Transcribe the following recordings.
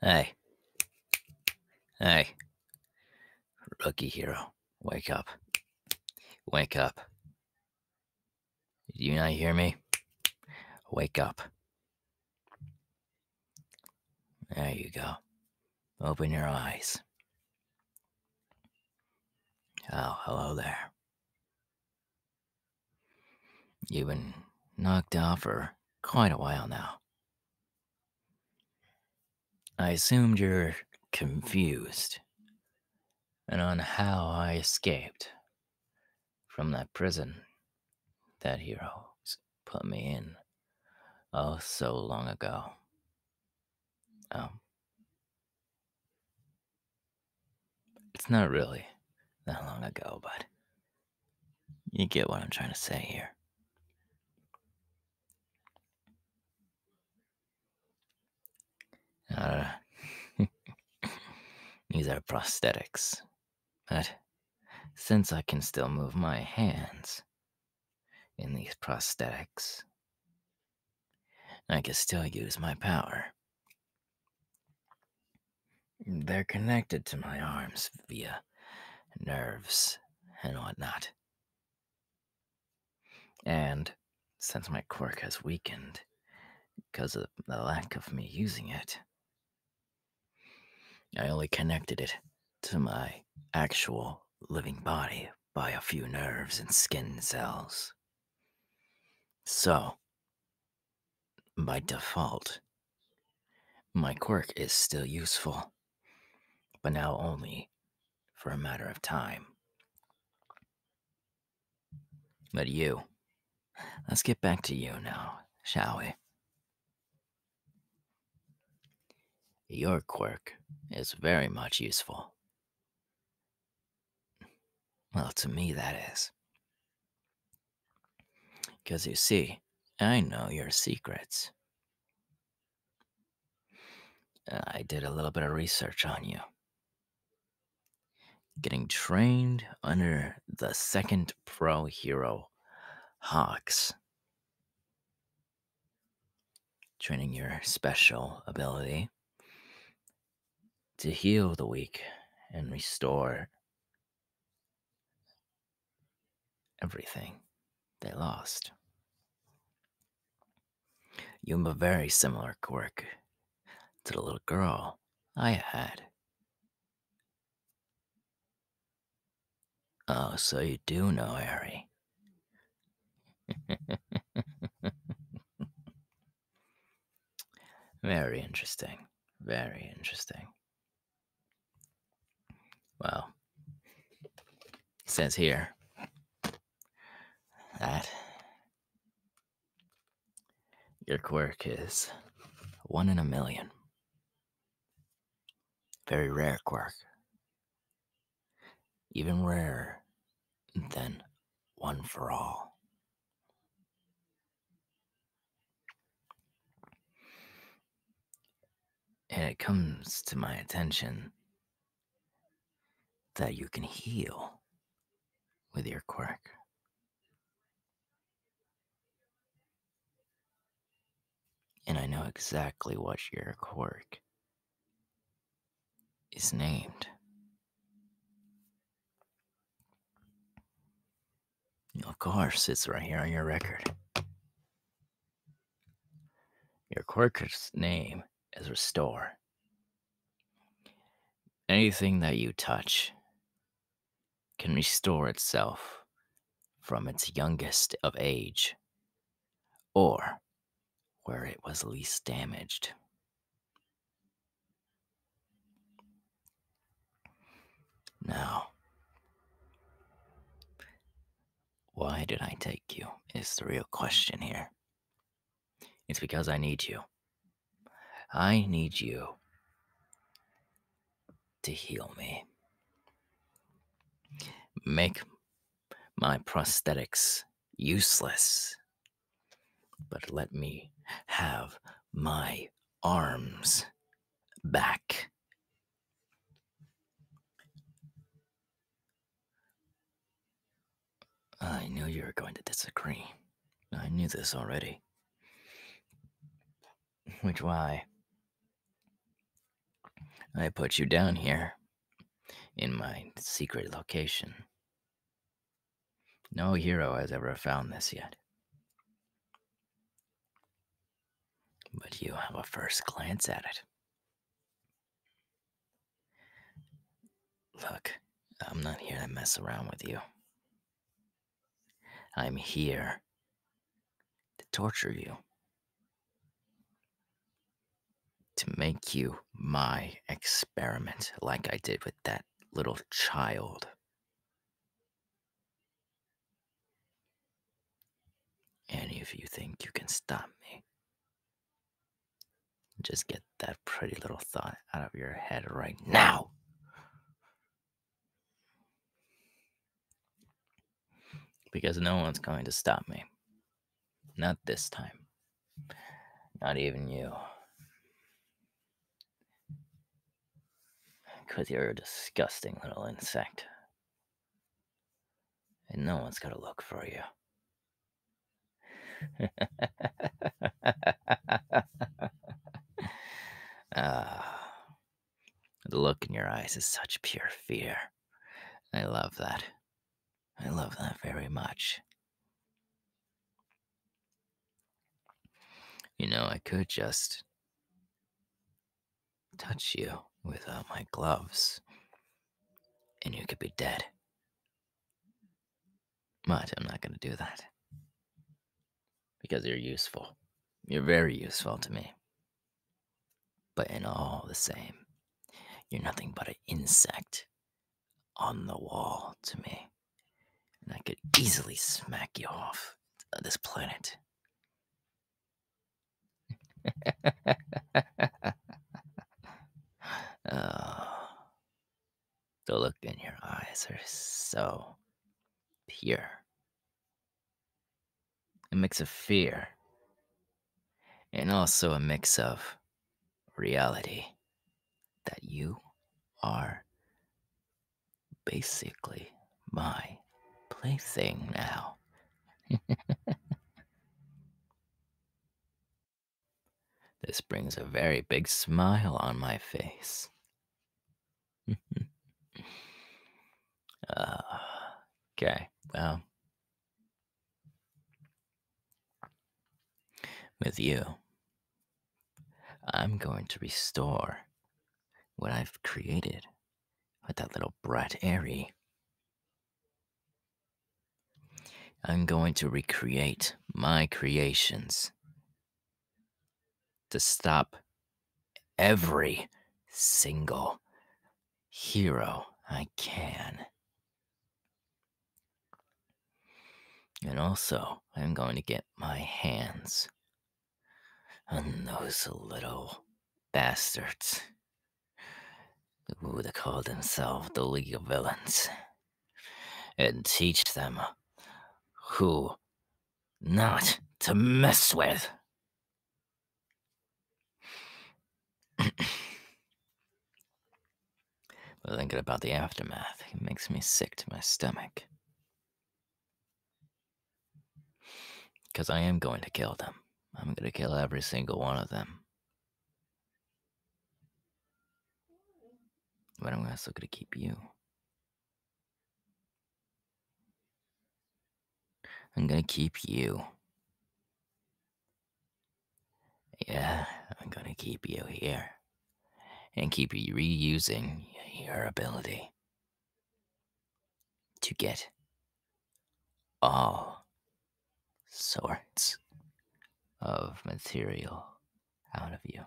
Hey. Hey. Rookie hero, wake up. Wake up. Do you not hear me? Wake up. There you go. Open your eyes. Oh, hello there. You've been knocked out for quite a while now. I assumed you're confused and on how I escaped from that prison that hero put me in oh so long ago. Oh. It's not really that long ago, but you get what I'm trying to say here. Uh, these are prosthetics, but since I can still move my hands in these prosthetics, I can still use my power they're connected to my arms via nerves and whatnot. And since my quirk has weakened because of the lack of me using it, I only connected it to my actual living body by a few nerves and skin cells. So, by default, my quirk is still useful, but now only for a matter of time. But you, let's get back to you now, shall we? Your quirk is very much useful. Well, to me, that is. Because you see, I know your secrets. Uh, I did a little bit of research on you. Getting trained under the second pro hero, Hawks. Training your special ability, to heal the weak and restore everything they lost. You have a very similar quirk to the little girl I had. Oh, so you do know Harry. Very interesting. Very interesting. Well, says here that your quirk is one in a million. Very rare quirk. Even rarer than one for all. And it comes to my attention that you can heal with your quirk. And I know exactly what your quirk is named. Of course, it's right here on your record. Your quirker's name is Restore. Anything that you touch can restore itself from its youngest of age or where it was least damaged. Now, why did I take you? Is the real question here. It's because I need you. I need you to heal me. Make my prosthetics useless but let me have my arms back. I knew you were going to disagree. I knew this already. Which why I put you down here in my secret location. No hero has ever found this yet. But you have a first glance at it. Look, I'm not here to mess around with you. I'm here to torture you, to make you my experiment, like I did with that little child any of you think you can stop me, just get that pretty little thought out of your head right now. Because no one's going to stop me. Not this time. Not even you. Because you're a disgusting little insect. And no one's going to look for you. Ah. the look in your eyes is such pure fear. I love that. I love that very much. You know, I could just touch you without my gloves, and you could be dead. But I'm not going to do that. Because you're useful. You're very useful to me. But in all the same, you're nothing but an insect on the wall to me and I could easily smack you off this planet. Oh. the look in your eyes are so pure. A mix of fear and also a mix of reality that you are basically my plaything now. this brings a very big smile on my face. uh, okay, well, with you, I'm going to restore what I've created with that little brat Airy. I'm going to recreate my creations to stop every single hero I can. And also, I'm going to get my hands and those little bastards who would called themselves the League of Villains and teach them who not to mess with. Thinking about the aftermath, it makes me sick to my stomach. Because I am going to kill them. I'm going to kill every single one of them. But I'm also going to keep you. I'm going to keep you. Yeah, I'm going to keep you here and keep reusing your ability to get all sorts of material out of you.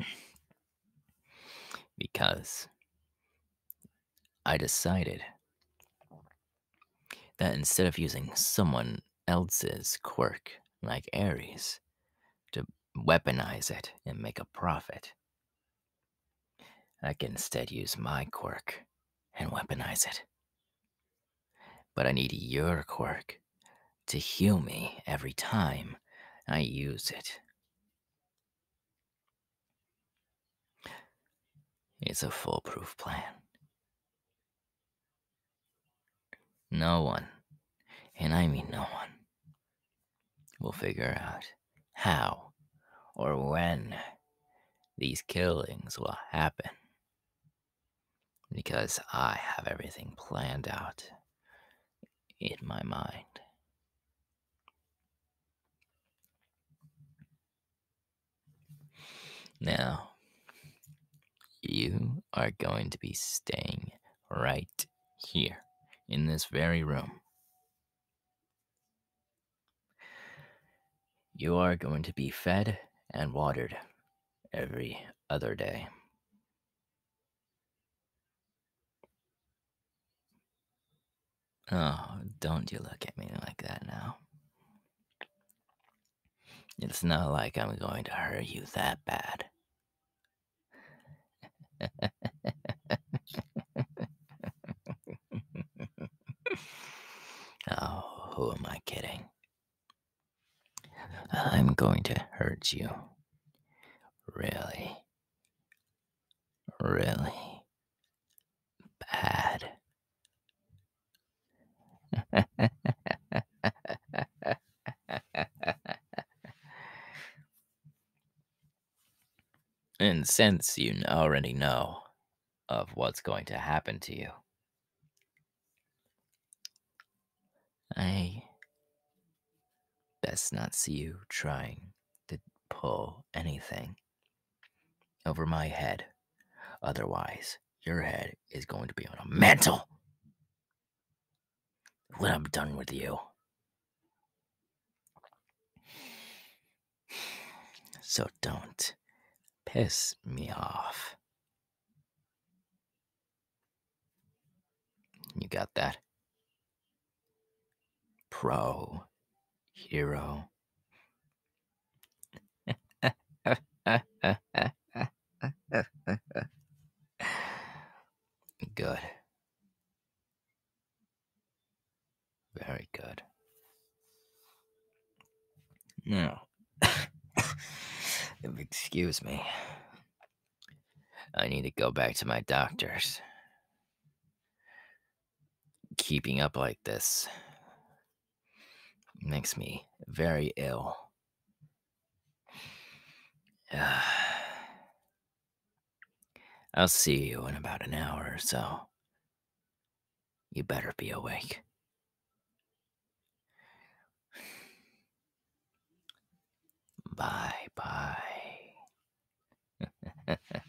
because I decided that instead of using someone else's quirk, like Ares, to weaponize it and make a profit. I can instead use my quirk and weaponize it. But I need your quirk to heal me every time I use it. It's a foolproof plan. No one, and I mean no one, will figure out how or when these killings will happen. Because I have everything planned out in my mind. Now, you are going to be staying right here in this very room. You are going to be fed and watered every other day. Oh, don't you look at me like that now. It's not like I'm going to hurt you that bad oh, who am I kidding? I'm going to hurt you. Really, really bad. and since you already know of what's going to happen to you, I best not see you trying to pull anything over my head. Otherwise, your head is going to be on a mantle when I'm done with you. So don't piss me off. You got that? Pro hero. Good. Very good. Now, excuse me. I need to go back to my doctors. Keeping up like this makes me very ill. I'll see you in about an hour or so. You better be awake. Bye bye.